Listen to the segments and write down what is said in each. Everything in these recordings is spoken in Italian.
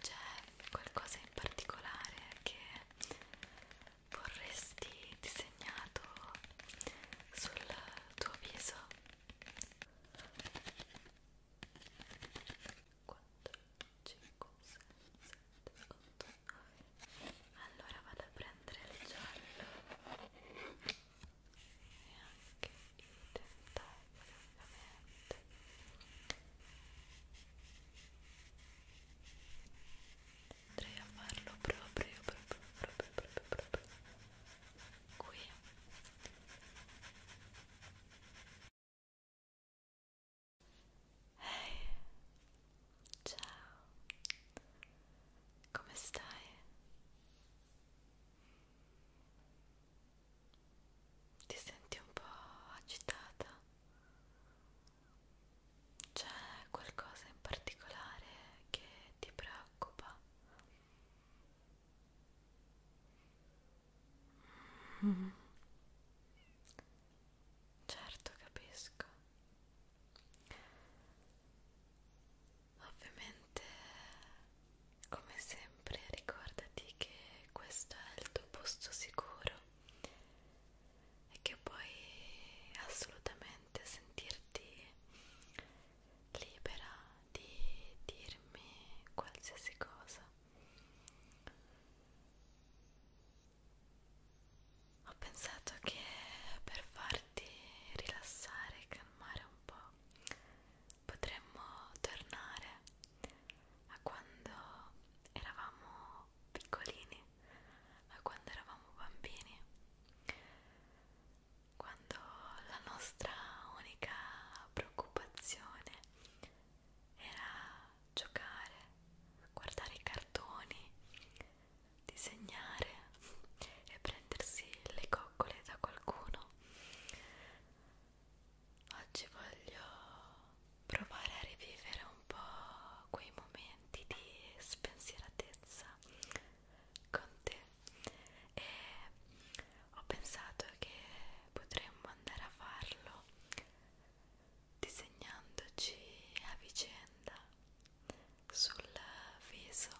C'è qualcosa in particolare che vorresti disegnato sul tuo viso? 4, 5, 6, 7, 8. Allora vado a prendere il giallo e anche i tentacoli veramente andrei a farlo proprio proprio proprio proprio, proprio qui Ehi, hey, ciao, come stai? ti senti un po' agitata? C'è qualcosa in particolare che ti preoccupa? Mm. Certo, capisco. Ovviamente, come sempre, sempre ricordati che questo è il tuo posto sicuro e che puoi assolutamente sentirti libera di dirmi qualsiasi cosa. Ho pensato che per farti rilassare e calmare un po' potremmo tornare a quando eravamo piccolini, a quando eravamo bambini, quando la nostra unica preoccupazione era giocare, guardare i cartoni, disegnare e prendersi le coccole da qualcuno Oggi voglio provare a rivivere un po' quei momenti di spensieratezza con te e ho pensato che potremmo andare a farlo disegnandoci a vicenda sul viso.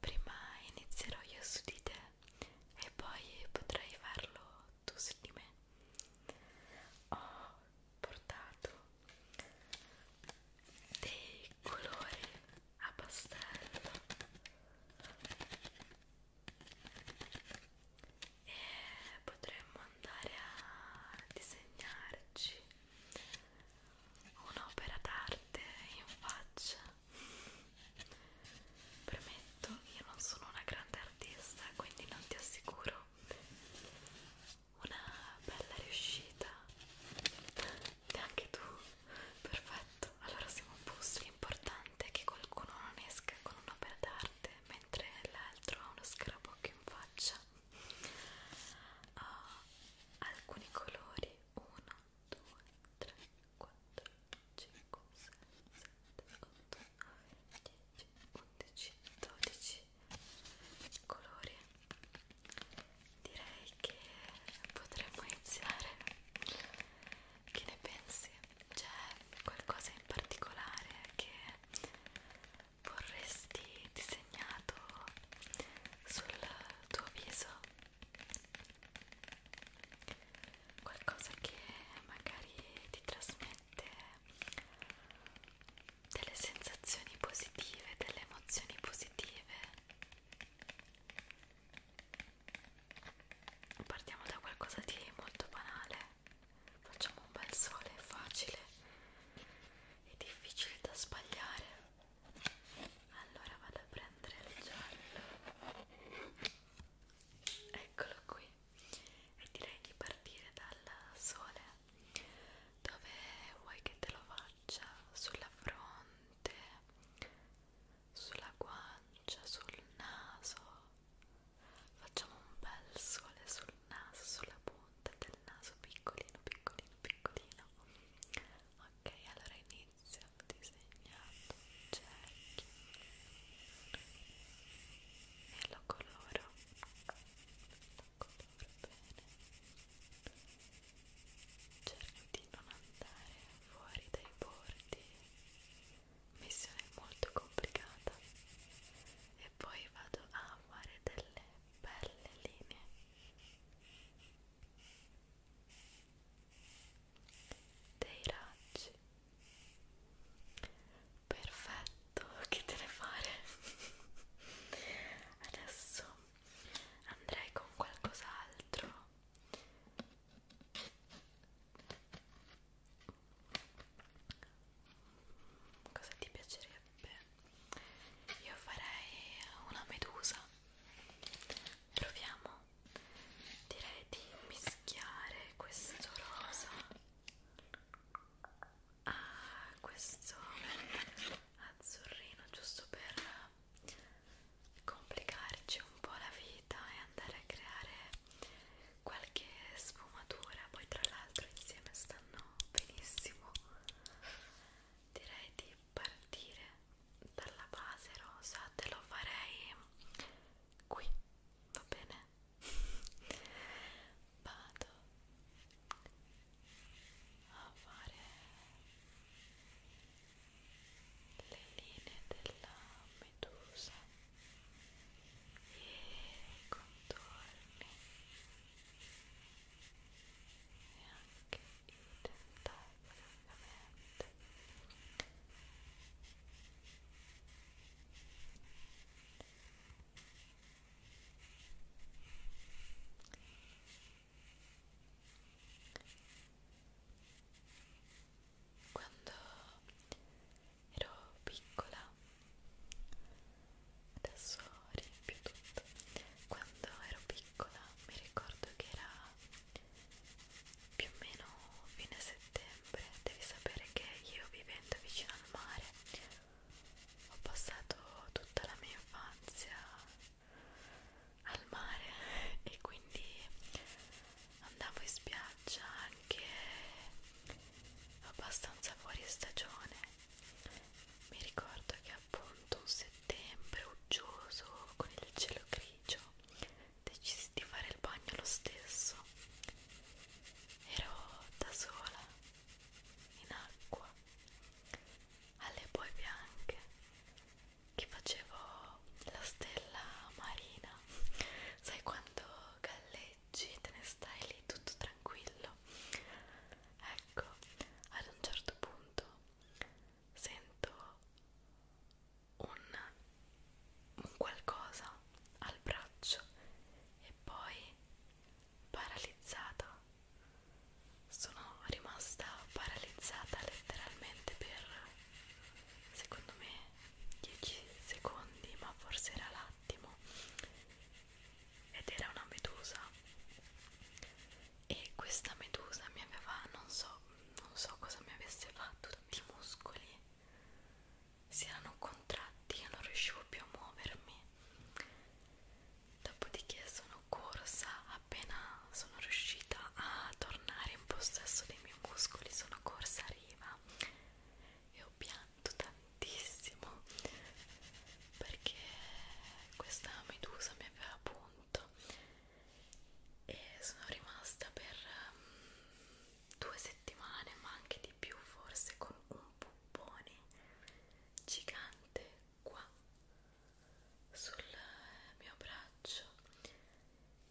Prima inizierò io su di te e poi potrai farlo tu su di me. Ho portato dei colori a pastello e potremmo andare a disegnarci un'opera d'arte in faccia Premetto, io non sono una grande artista, quindi non ti assicuro una bella riuscita. Neanche tu. Perfetto, allora siamo a posto. L'importante è che qualcuno non esca con un'opera d'arte mentre l'altro ha uno scarabocchio in faccia. Ho alcuni colori: 1, 2, 3, 4, 5, 6, 7, 8, 9, 10, 11, 12 colori direi che potremmo iniziare che ne pensi? c'è qualcosa in particolare che vorresti disegnato sul tuo viso? qualcosa che magari ti trasmette delle sensazioni positive, delle emozioni positive. Partiamo da qualcosa di molto banale, facciamo un bel sole facile e difficile da sbagliare. Allora vado a prendere il giallo eccolo qui e direi di partire dal sole dove vuoi che te lo faccia sulla fronte sulla guancia sul naso facciamo un bel sole sul naso sulla punta del naso piccolino piccolino piccolino ok allora inizio Patrizia ha disegnato un cerchio e lo coloro lo coloro bene cerco di non andare fuori dai bordi missione molto complicata e poi vado a fare delle belle linee dei raggi perfetto che te ne fare adesso andrei con qualcos'altro cosa ti piacerebbe io farei una medusa proviamo direi di mischiare questo rosa a questo azzurrino giusto per complicarci un po' la vita e andare a creare qualche sfumatura poi tra l'altro insieme stanno benissimo direi di partire dalla base rosa te lo farei qui, va bene? Vado a fare le linee della medusa e i contorni e anche i tentacoli vagamente quando ero piccola adesso riempio tutto quando ero piccola mi ricordo che era più o meno fine settembre devi sapere che io vivendo vicino al mare ho passato tutta la mia infanzia al mare e quindi andavo in spiaggia anche abbastanza fuori stagione mi ricordo che appunto un settembre uggioso con il cielo grigio decisi di fare il bagno lo stesso. Ero da sola, in acqua, alle boe bianche, che facevo la stella marina. Sai quando galleggi, te ne stai lì tutto tranquillo. Ecco, ad un certo punto sento un, un qualcosa al braccio e poi paralizzata sono rimasta paralizzata letteralmente per secondo me 10 secondi ma forse era l'attimo ed era una medusa e questa medusa mi aveva non so non so cosa mi avesse fatto tutti i muscoli si erano contratti io non riuscivo più a muovermi dopodiché sono corsa appena sono riuscita a tornare in possesso dei miei muscoli sono corsa a riva e ho pianto tantissimo perché questa medusa mi aveva punto e sono rimasta per um, due settimane ma anche di più forse con un puppone gigante qua sul mio braccio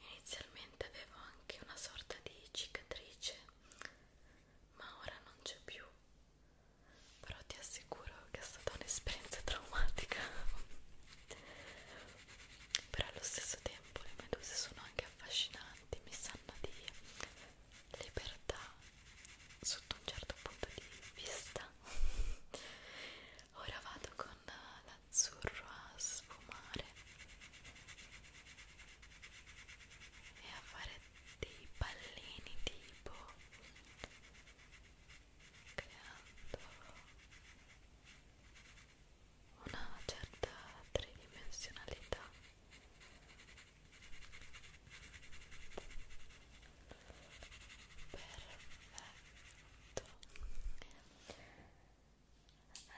inizialmente avevo anche una sorta di cicatrice ma ora non c'è più però ti assicuro che è stata un'esperienza traumatica però allo stesso tempo le meduse sono anche affascinanti, mi sanno di libertà sotto un certo punto di vista. Ora vado con l'azzurro a sfumare e a fare dei pallini tipo creando una certa tridimensionalità perfetto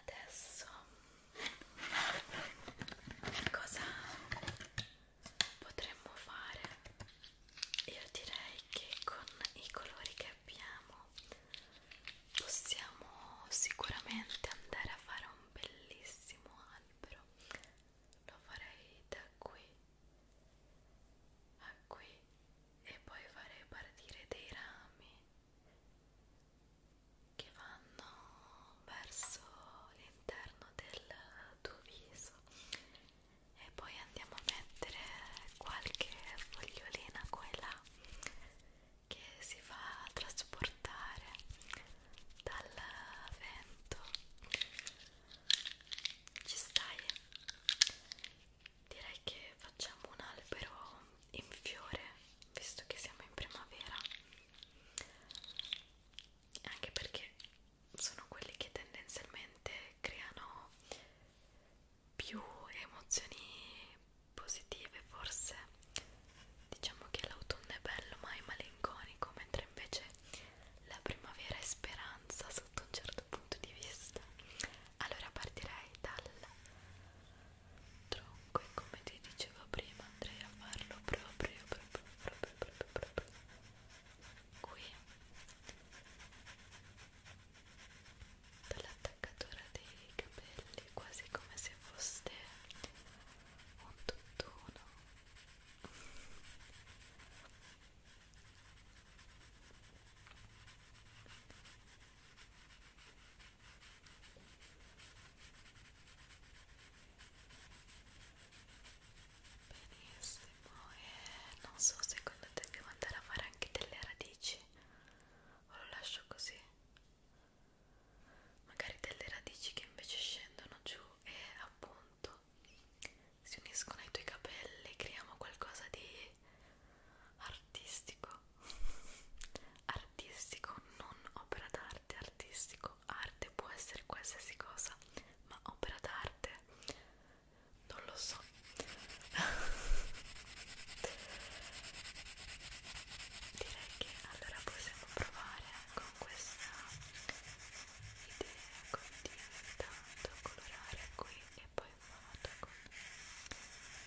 adesso cosa potremmo fare io direi che con i colori che abbiamo possiamo sicuramente andare a fare un bellissimo albero lo farei da qui a qui e poi farei partire dei rami che vanno verso l'interno del tuo viso e poi andiamo a mettere qualche fogliolina qua e là che si fa trasportare dal vento ci stai? direi che facciamo un albero in fiore visto che siamo in primavera anche perché sono quelli che tendenzialmente creano più emozioni positive forse diciamo che l'autunno è bello ma è malinconico mentre invece la primavera è speranza sotto un certo punto di vista allora partirei dal tronco e come ti dicevo prima andrei a farlo proprio proprio proprio proprio, proprio qui dall'attaccatura dei capelli quasi come se fosse un tutt'uno benissimo e non so secondo te devo andare a fare anche delle radici o lo lascio così magari delle radici che invece scendono giù e appunto si uniscono ai tuoi capelli creiamo qualcosa di artistico artistico non opera d'arte artistico arte può essere qualsiasi cosa ma opera d'arte non lo so direi che allora possiamo provare con questa idea continua intanto colorare qui e poi in modo con dei movimenti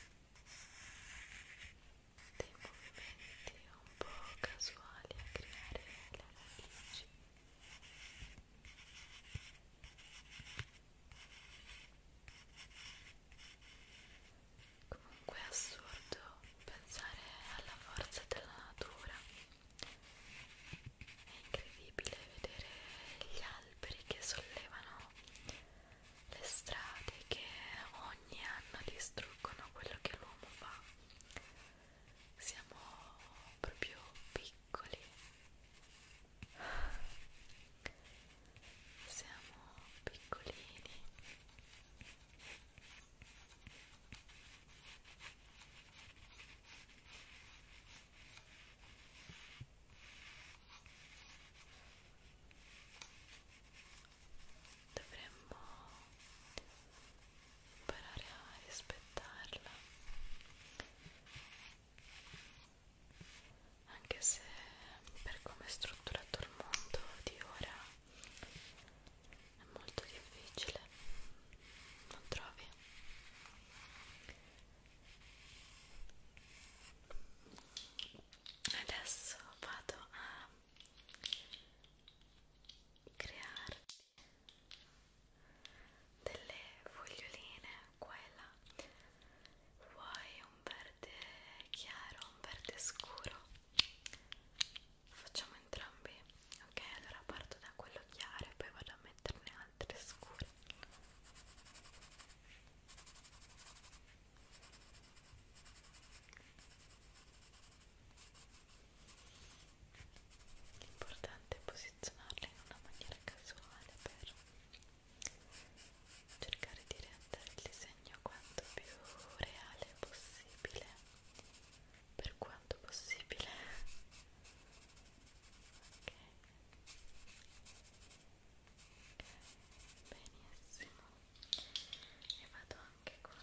un po' casuali a creare le radici Comunque è assurdo pensare alla forza della natura. È incredibile vedere gli alberi che sollevano le strade che ogni anno distruggono quello che l'uomo fa. Siamo proprio piccoli siamo piccolini dovremmo imparare a rispettarla anche se per come è strutturato il mondo di ora è molto difficile, non trovi? Adesso vado a crearti delle foglioline qua e là vuoi un verde chiaro un verde scuro facciamo entrambi ok allora parto da quello chiaro e poi vado a metterne altre scure L'importante è posizionarle in una maniera casuale per cercare di rendere il disegno quanto più reale possibile per quanto possibile ok benissimo e vado anche con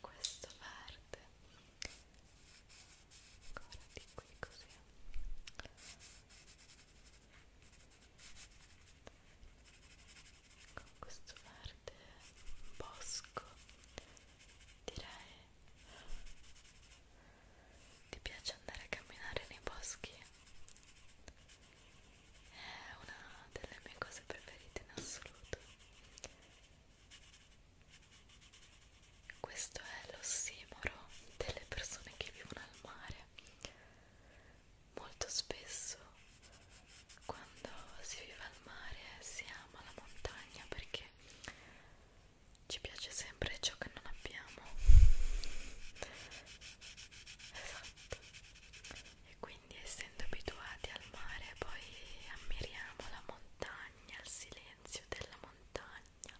questo verde ancora di qui così con questo verde bosco direi ti piace andare a camminare nei boschi è una delle mie cose preferite in assoluto questo è l'ossimoro delle persone che vivono al mare molto spesso quando si vive al mare si ama la montagna perché ci piace sempre ciò che non abbiamo esatto e quindi essendo abituati al mare poi ammiriamo la montagna il silenzio della montagna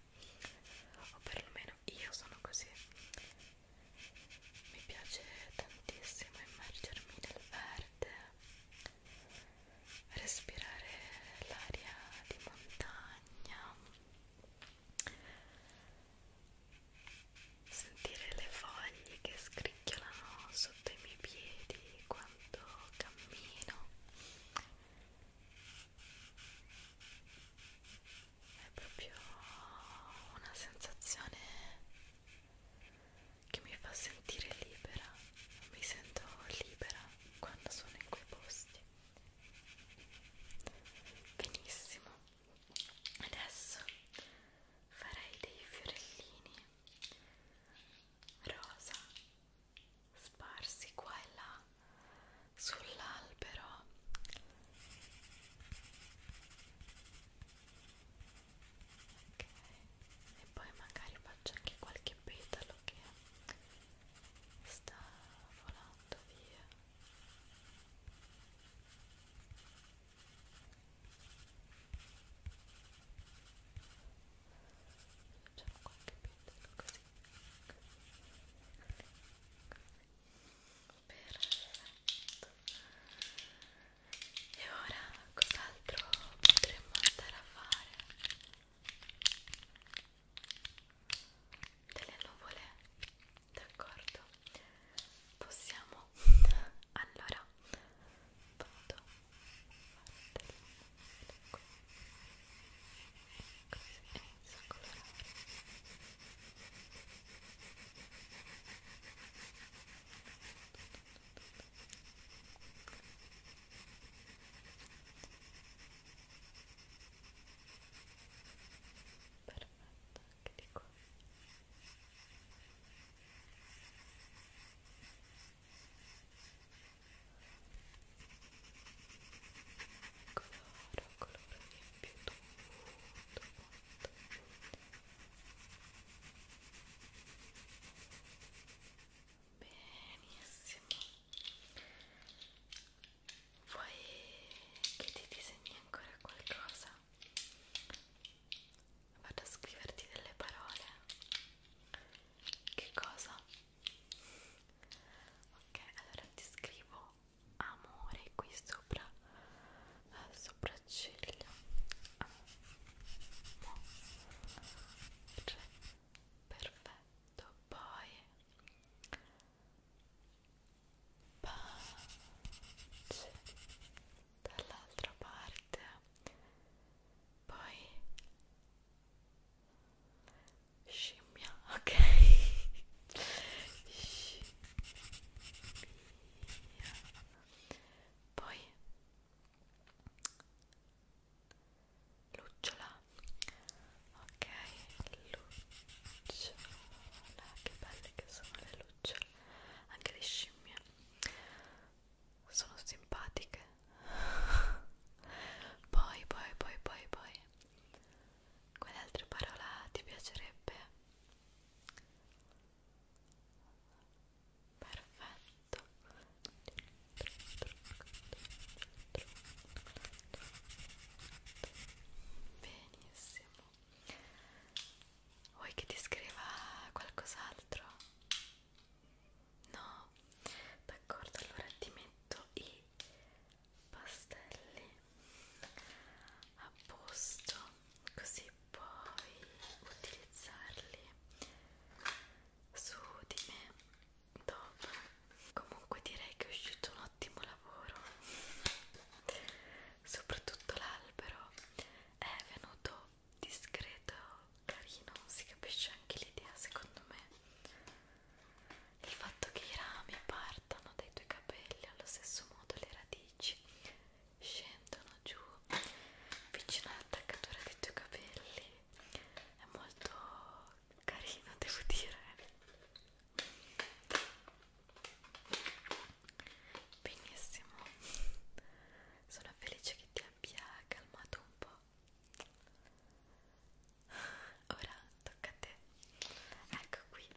o perlomeno io sono così mi piace tantissimo immergermi nel verde respirare l'aria di montagna sentire le foglie che scricchiolano sotto i miei piedi quando cammino è proprio una sensazione che mi fa sentire libera mi sento libera quando sono in quei posti benissimo adesso farei dei fiorellini rosa sparsi qua e là sull'albero ok e poi magari faccio anche qualche petalo che sta volando via facciamo qualche petalo così perfetto e ora cos'altro potremmo andare a fare? delle nuvole d'accordo possiamo allora vado Così, inizio a colorare. Perfetto, anche di qua. Coloro, coloro di più tutto quanto benissimo vuoi che ti disegni ancora qualcosa? vado a scriverti delle parole che cosa? ok allora ti scrivo amore qui sopra eh, sopracciglia amore perfetto poi pace dall'altra parte poi scimmia ok scimmia via poi lucciola ok lucciola che belle che sono le lucciole anche le scimmie sono simpatiche poi poi poi poi poi quale altra parola ti piacerebbe perfetto benissimo vuoi che ti scriva qualcos'altro? no d'accordo allora ti metto i pastelli a posto così puoi utilizzarli su di me dopo comunque direi che è uscito un ottimo lavoro soprattutto l'albero è venuto discreto carino si capisce anche l'idea secondo me il fatto che i rami partano dai tuoi capelli allo stesso modo le radici scendono giù vicino all'attaccatura dei tuoi capelli è molto carino devo dire benissimo sono felice che ti abbia calmato un po' ora tocca a te ecco qui